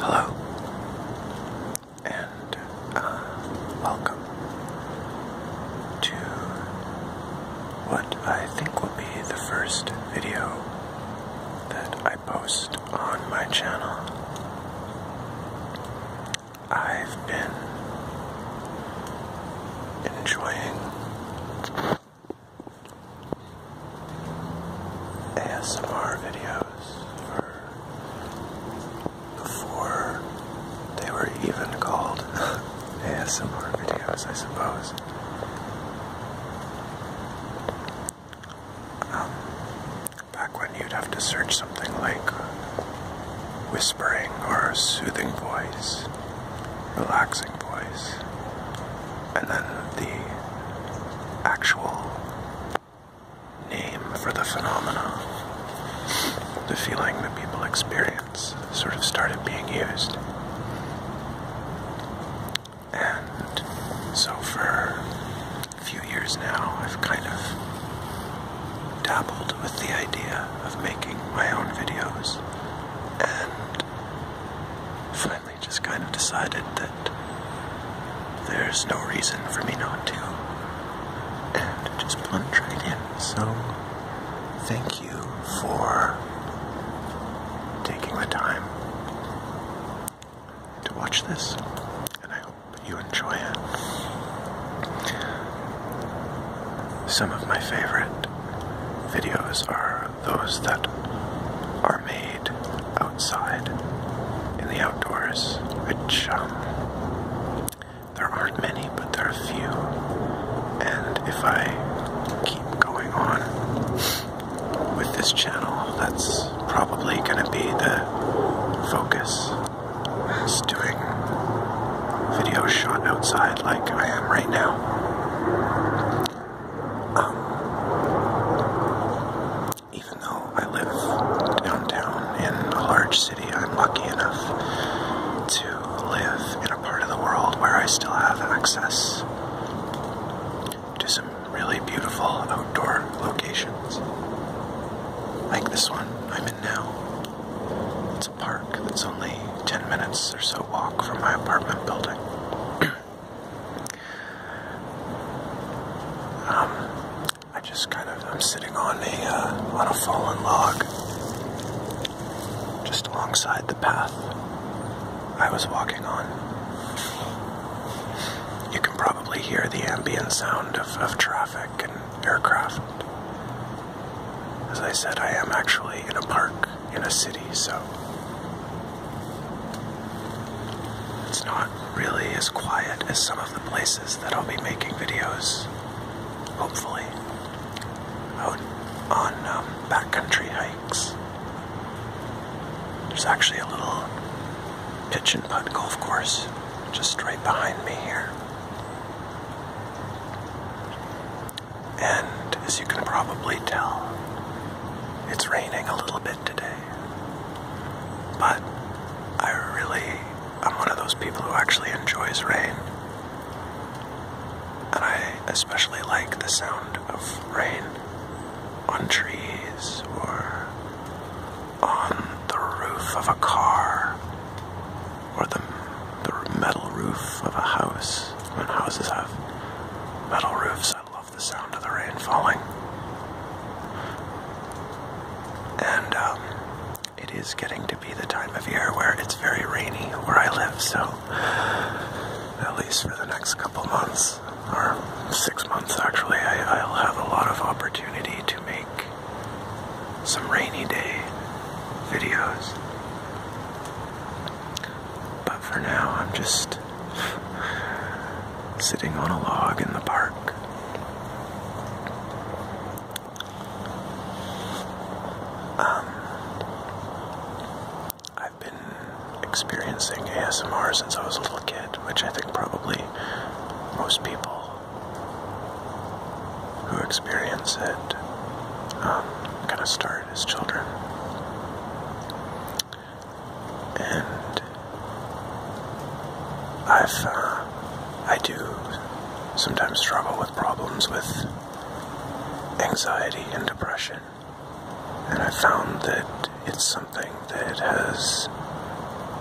Hello, and uh, welcome to what I think will be the first video that I post on my channel. I've been enjoying ASMR videos for before they were even called ASMR videos, I suppose. Um, back when you'd have to search something like whispering or soothing voice, relaxing voice, and then the actual name for the phenomena, the feeling that people experience, sort of started being used. And so for a few years now, I've kind of dabbled with the idea of making my own videos and finding just kind of decided that there's no reason for me not to. And just plunge right in. So, thank you for taking the time to watch this. And I hope you enjoy it. Some of my favorite videos are those that are made outside in the outdoors, which um, there aren't many, but there are a few. And if I keep going on with this channel, that's probably going to be the focus. Is doing videos shot outside like I am right now. Um, even though I live downtown in a large city, I'm lucky enough to live in a part of the world where I still have access to some really beautiful outdoor locations. Like this one I'm in now. It's a park that's only 10 minutes or so walk from my apartment building. Um, I just kind of I'm sitting on a uh, on a fallen log, just alongside the path I was walking on. You can probably hear the ambient sound of, of traffic and aircraft. As I said, I am actually in a park in a city, so it's not really as quiet as some of the places that I'll be making videos, hopefully, out on um, backcountry hikes. There's actually a little pitch and putt golf course just right behind me here. And as you can probably tell, it's raining a little bit today. But I really, I'm one of those people who actually enjoys rain. And I especially like the sound of rain on trees or on the roof of a car or the, the metal roof of a house roofs, and houses have metal roofs. I love the sound of the rain falling. And um, it is getting to be the time of year where it's very rainy where I live, so at least for the next couple months, or six months actually, I, will have a lot of opportunity to make some rainy day videos. But for now, I'm just sitting on a log in the park. Um, I've been experiencing ASMR since I was a little kid, which I think probably most people who experience it um, kind of start are children. And I've, uh, I do sometimes struggle with problems with anxiety and depression. And I found that it's something that has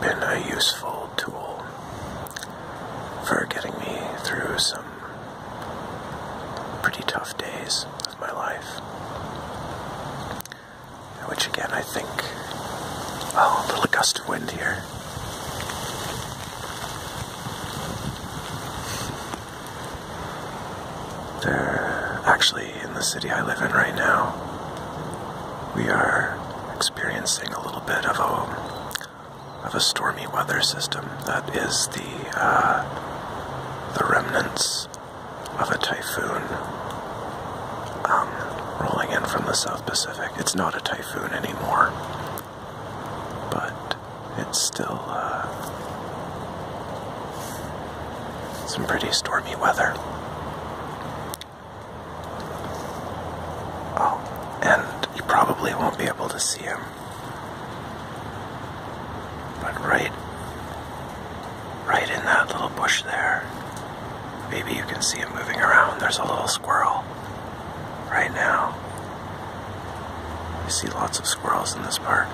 been a useful tool for getting me through some pretty tough days of my life. Which again, I think, oh, a little gust of wind here. There, actually, in the city I live in right now, we are experiencing a little bit of a of a stormy weather system that is the uh, the remnants of a typhoon um, rolling in from the South Pacific. It's not a typhoon anymore, but it's still uh, some pretty stormy weather. Oh, and you probably won't be able to see him but right, right in that little bush there, maybe you can see it moving around. There's a little squirrel right now. You see lots of squirrels in this park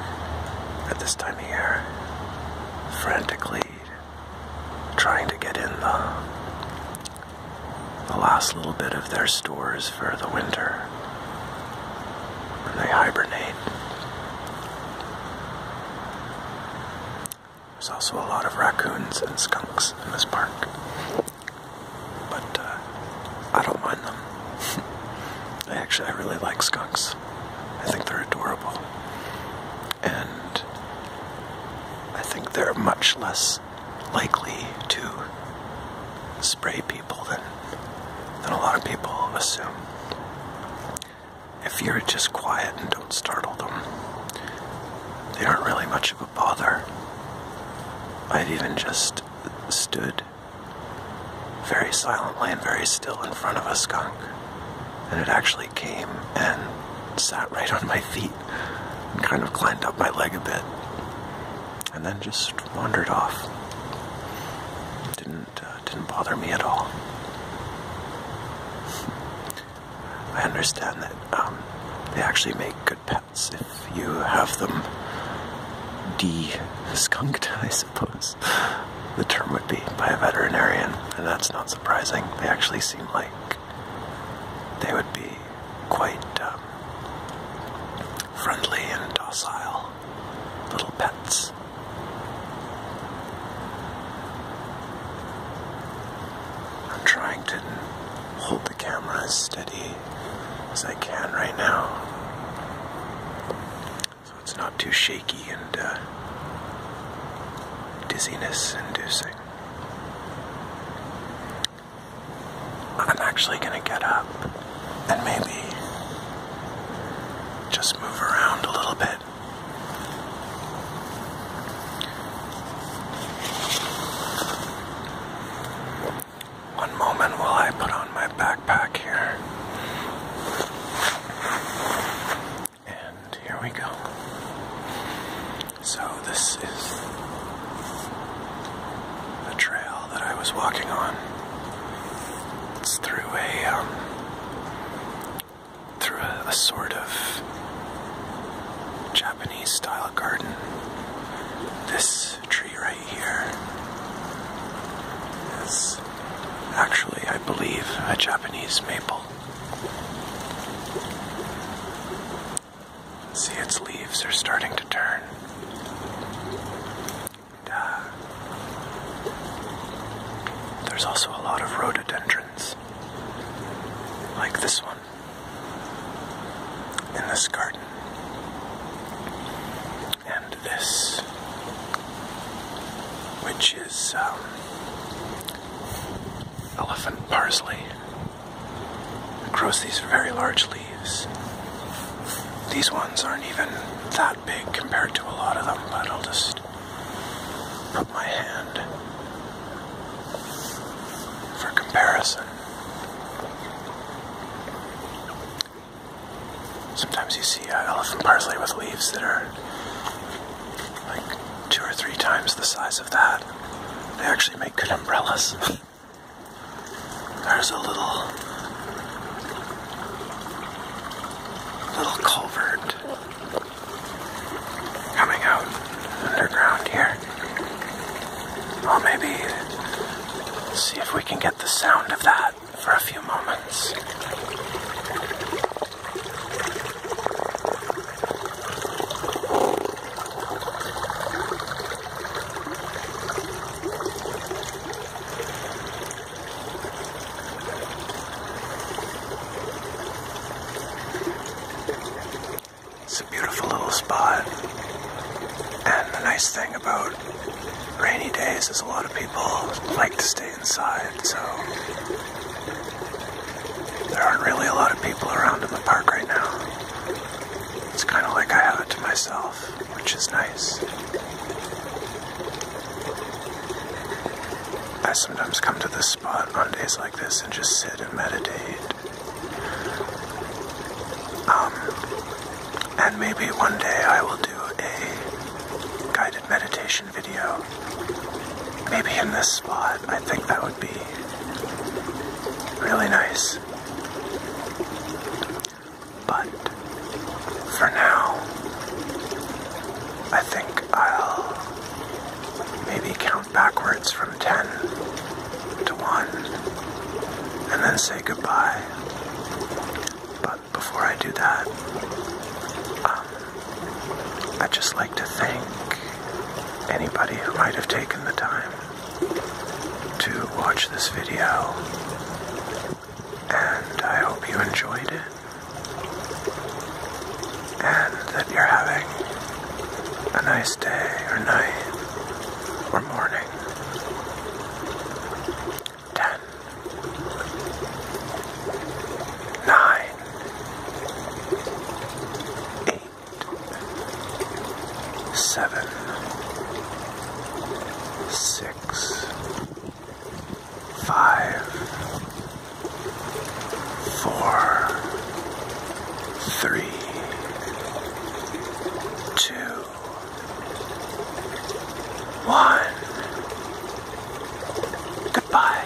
at this time of year, frantically trying to get in the, the last little bit of their stores for the winter they hibernate. There's also a lot of raccoons and skunks in this park, but uh, I don't mind them. I actually, I really like skunks. I think they're adorable, and I think they're much less likely to spray people than than a lot of people assume. If you're just quiet and don't startle them, they aren't really much of a bother. I've even just stood very silently and very still in front of a skunk, and it actually came and sat right on my feet and kind of climbed up my leg a bit, and then just wandered off. Didn't uh, didn't bother me at all. I understand that um, they actually make good pets if you have them de-skunked, I suppose. The term would be by a veterinarian, and that's not surprising. They actually seem like they would be quite um, friendly and docile little pets. I'm trying to hold the camera as steady as I can right now. So it's not too shaky and uh, dizziness inducing. I'm actually gonna get up and maybe just move around a little bit. One moment while I put on my backpack here. And here we go. So, this is a trail that I was walking on. It's through a um, through a sort of Japanese style garden. This tree right here is actually, I believe, a Japanese maple. See, its leaves are starting to turn. there's also a lot of rhododendrons, like this one in this garden. And this, which is um, elephant parsley. Across these very large leaves. These ones aren't even that big compared to a lot of them, but I'll just put my hand for comparison. Sometimes you see uh, elephant parsley with leaves that are like two or three times the size of that. They actually make good umbrellas. there's a little little culvert coming out underground here. i maybe see if we can get the sound of that for a few moments. It's a beautiful little spot. And the nice thing about rainy days is a lot of people like to stay inside, so there aren't really a lot of people around in the park right now. It's kind of like I have it to myself, which is nice. I sometimes come to this spot on days like this and just sit and meditate. Um, and maybe one day I will do a guided meditation video. Maybe in this spot, I think that would be really nice. But for now, I think I'll maybe count backwards from 10 to 1 and then say goodbye. But before I do that, um, I'd just like to thank anybody who might have taken the time to watch this video, and I hope you enjoyed it, and that you're having a nice day or night or morning. 10, seven, six, five, four, three, two, one. Goodbye.